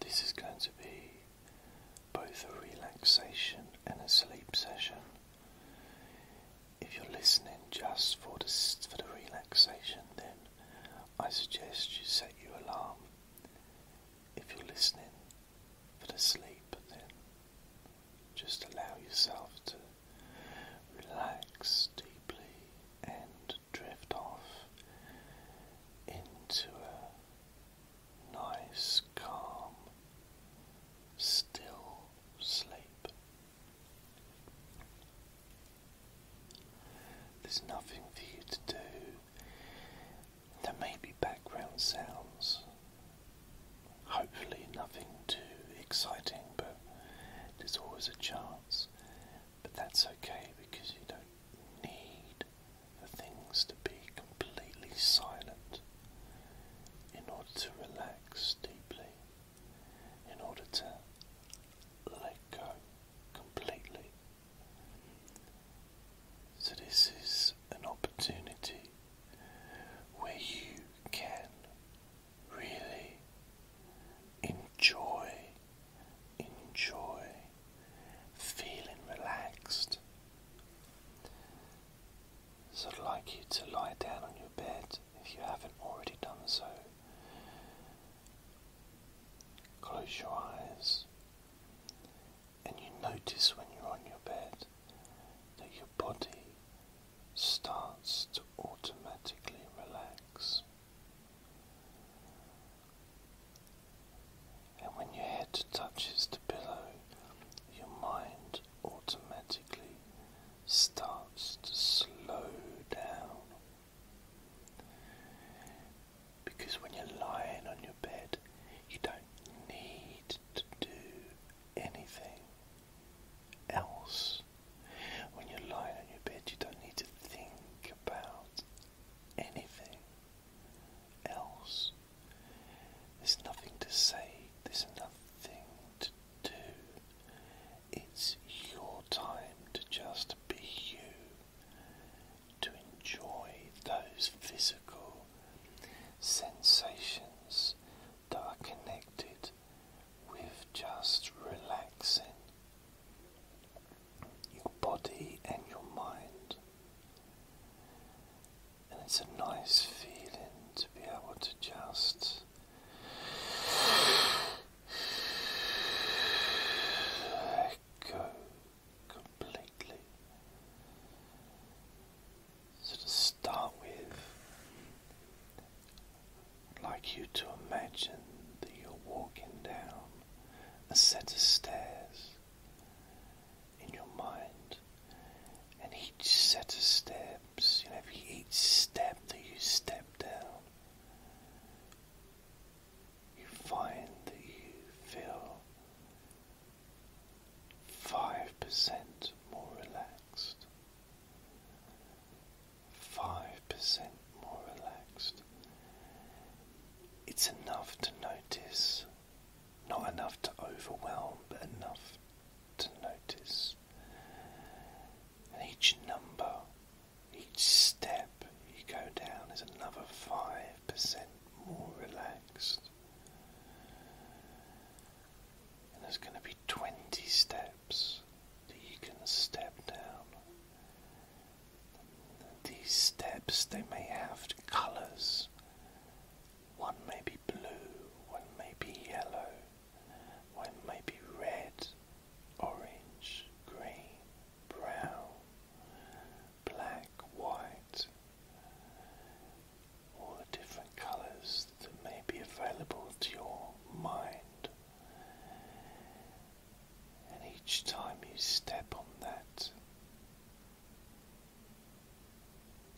This is going to be both a relaxation and a sleep session. If you're listening just for the, for the relaxation, then I suggest you set your alarm. If you're listening for the sleep, then just allow yourself to relax deeply and drift off into a nice, calm, still sleep. There's nothing for you to do. There may be background sounds. Hopefully, nothing too exciting, but there's always a chance but that's okay because you don't need the things to be completely silent in order to relax deeply, in order to let go completely. So, this is an opportunity where you can really enjoy enjoy feeling relaxed. So I'd like you to lie down on your bed if you haven't already done so. Close your eyes and you notice when you're on your bed that your body starts to automatically relax. And when your head touches the pillow, your mind automatically starts to slow down. Because when you're lying on your bed, you don't need to do anything else. When you're lying on your bed, you don't need to think about anything else. There's nothing to say, there's nothing to do. It's your time to just be you, to enjoy those physical sensations that are connected with just relaxing your body and your mind. And it's a nice feeling to be able to just go completely. So to start with, like you to imagine that you're walking down a set of stairs in your mind, and each set of steps, you know, each step that you step down, you find that you feel 5% more relaxed. 5% more relaxed. It's enough to notice, not enough to overwhelm, but enough to notice. each number, each step you go down is another 5% more relaxed. And there's going to be 20 steps that you can step down. These steps they may have colours. One may be blue, one may be yellow, one may be red, orange, green, brown, black, white. All the different colours that may be available to your mind. And each time you step on that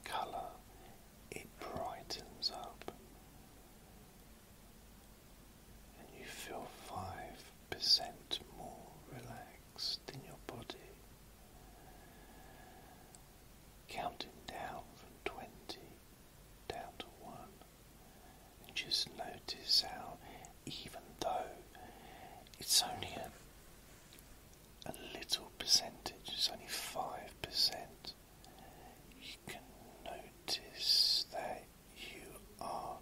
colour, it brightens up, and you feel 5% more relaxed in your body. Counting down from 20 down to 1. And just notice how, even though it's only a, a little percentage, it's only 5%, you can notice that you are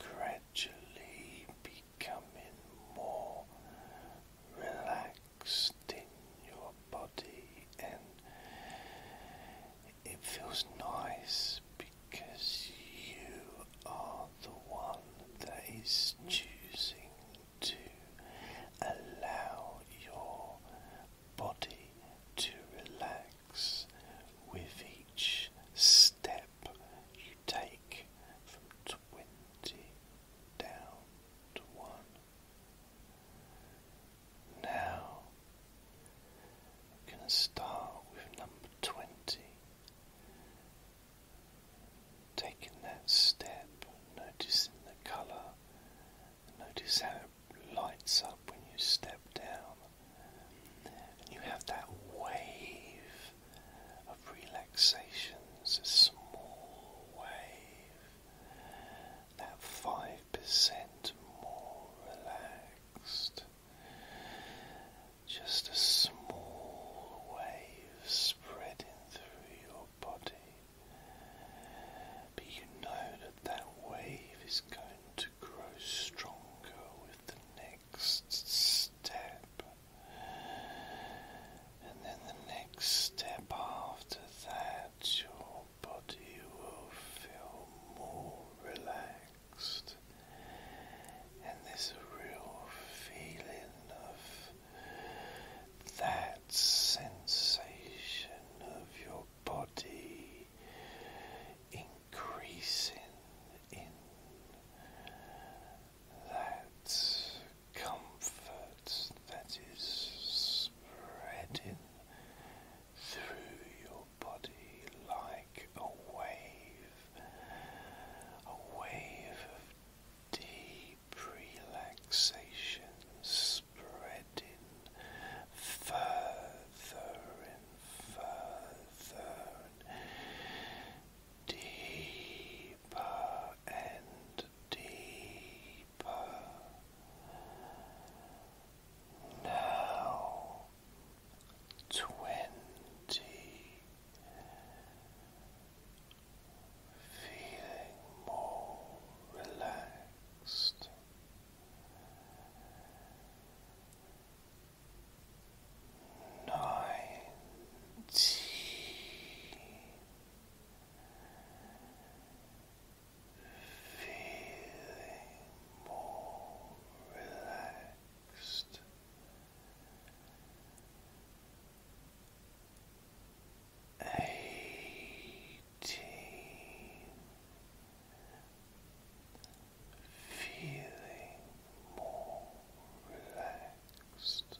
gradually becoming more relaxed in your body and it feels nice because you are the one that is choosing to allow your body to relax with each step you take from 20 down to 1. Now we're going to start with number 20. Taking that step, noticing the colour, notice how it lights up when you step down. And you have that wave of relaxation, a small wave, that 5% more relaxed just a small wave spreading through your body, but you know that that wave is going to grow stronger with the next step, and then the next step after that, your body will feel more relaxed relaxed, and there's a real feeling of that sensation of your body increasing in that comfort that is spreading through your body like a wave, a wave of deep relaxation spreading further and further deeper and deeper. Now twenty, feeling more relaxed. Nineteen, feeling more relaxed. Eighteen, feeling more relaxed.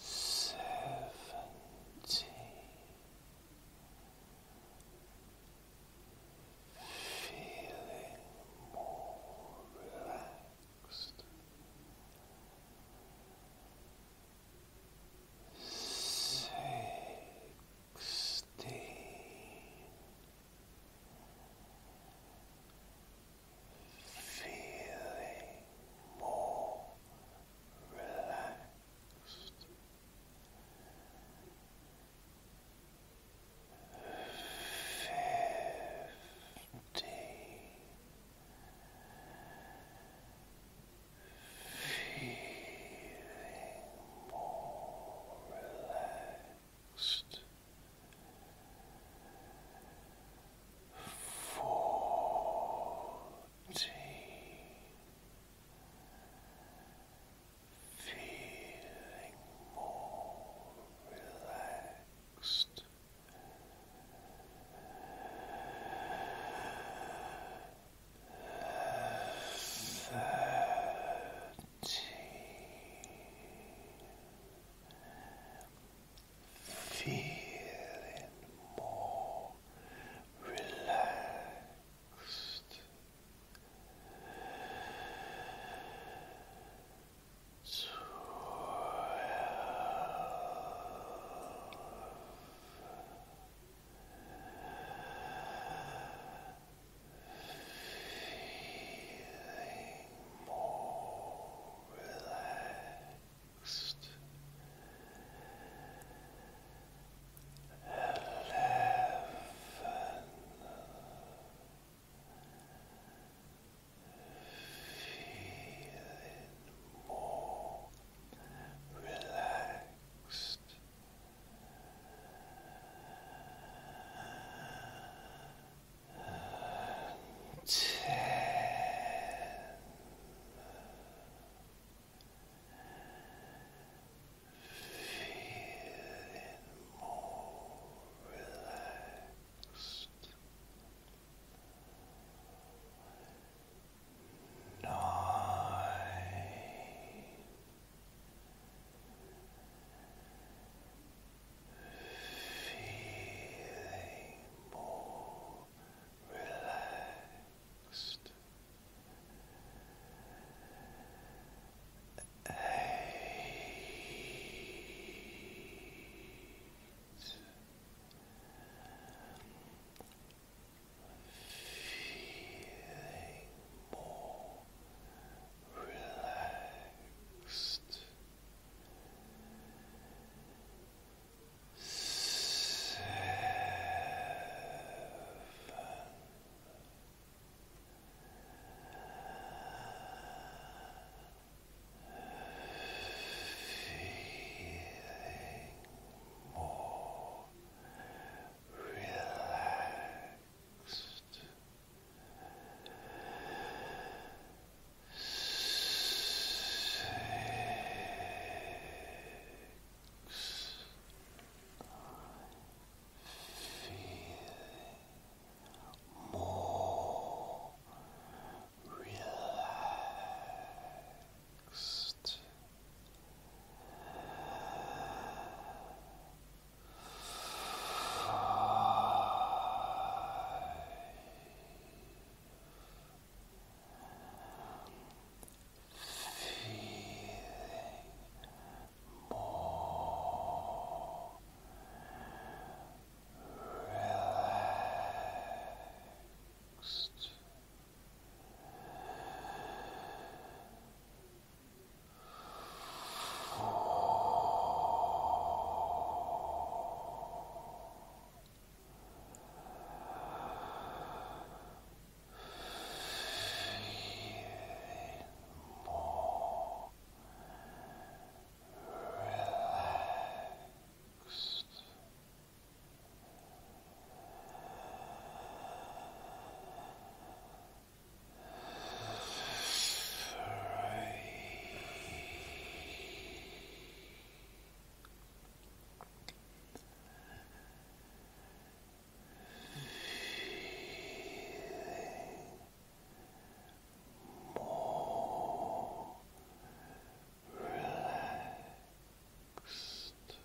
Seventeen feeling more relaxed, sixteen, feeling more relaxed. Fifty feeling more relaxed. Forty feeling more relaxed. Thirteen. Feeling more relaxed. Feeling more relaxed. Feeling more relaxed. Ten. Feeling more relaxed. Nine. Feeling more relaxed. Eight. Feeling more relaxed, seven. Feeling more relaxed, six feeling more relaxed. Five, feeling more relaxed. Four. Feeling more relaxed. Free more relaxed. Two.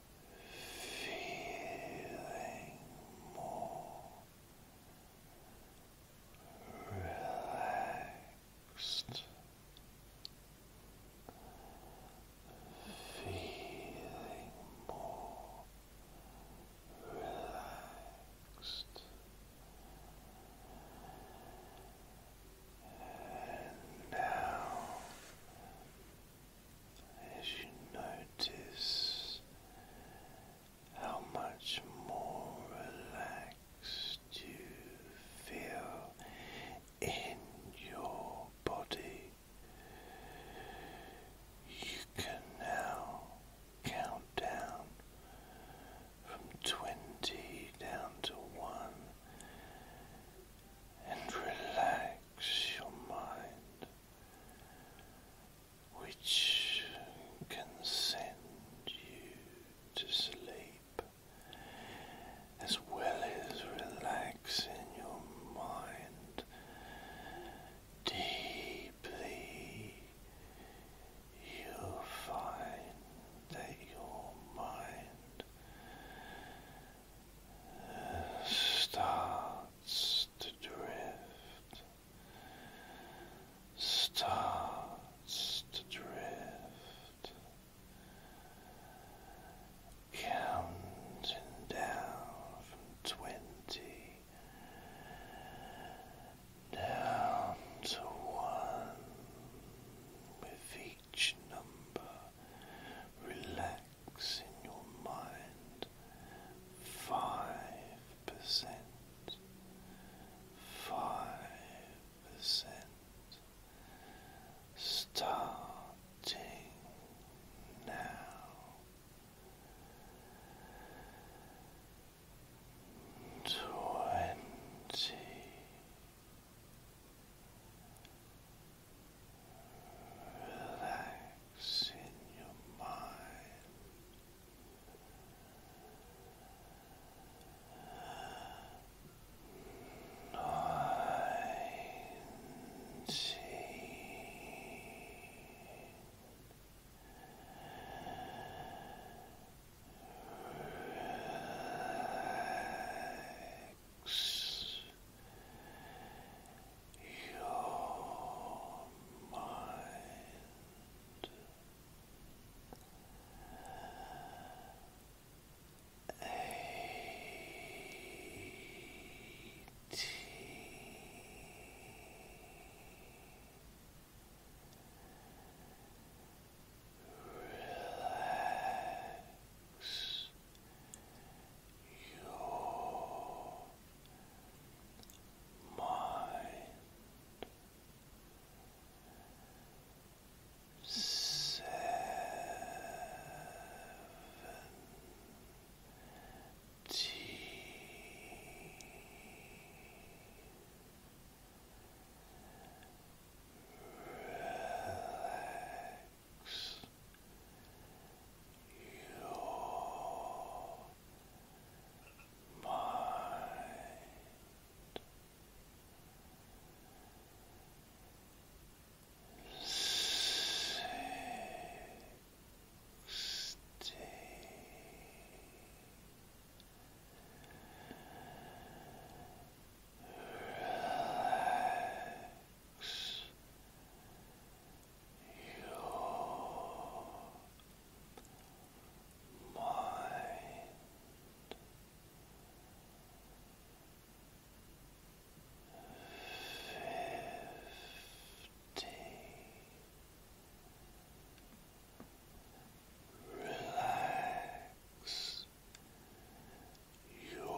feeling more relaxed, feeling more relaxed. And now as you notice how much more relaxed you feel in your body. You can now count down from 20 down to 1 and relax your mind which can send you to sleep as well as relaxing your mind deeply. you find that your mind starts to drift, starts to drift, counting down from twenty down to one with each number relaxing in your mind five percent, five percent, starting now. Twenty. Relax in your mind. Nineteen. Relax relax your mind eighty Relax your mind seven Relaxed your mind. Sixty. Relax your mind. Fifty. Relax your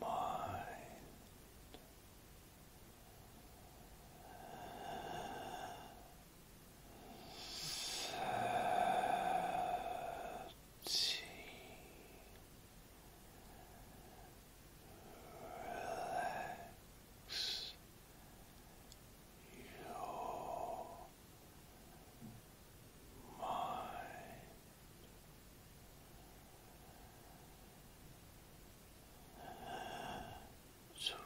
mind. Thirty. Relax your mind. Relax your mind.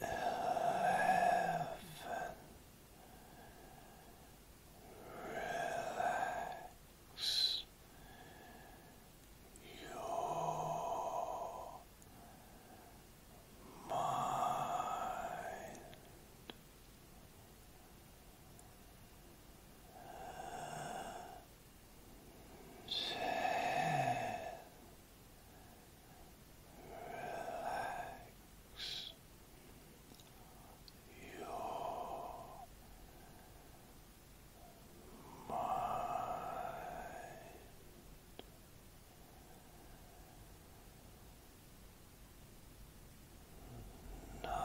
Eleven. Relax your mind relax your mind. Nine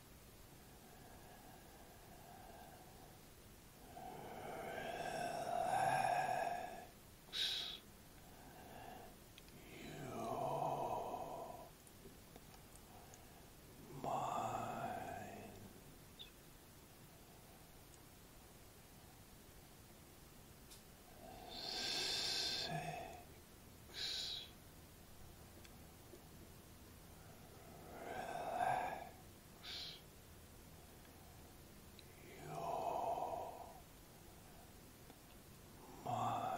Relax your mind. Six. Relax your mind. Five.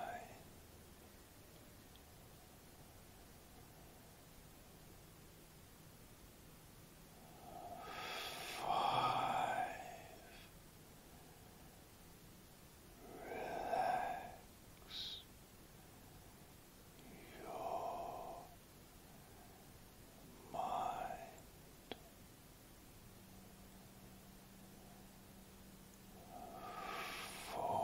Relax your mind for Relax your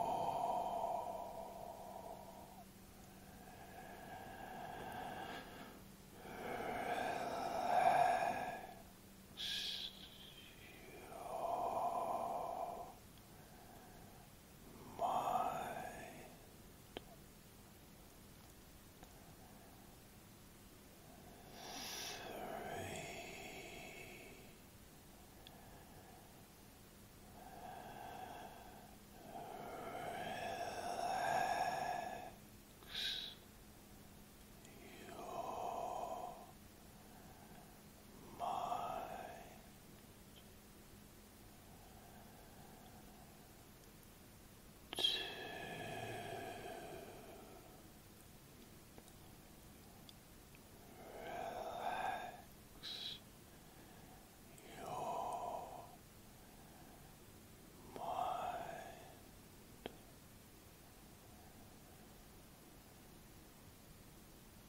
mind, three. Relax your mind. Two. Relax your mind.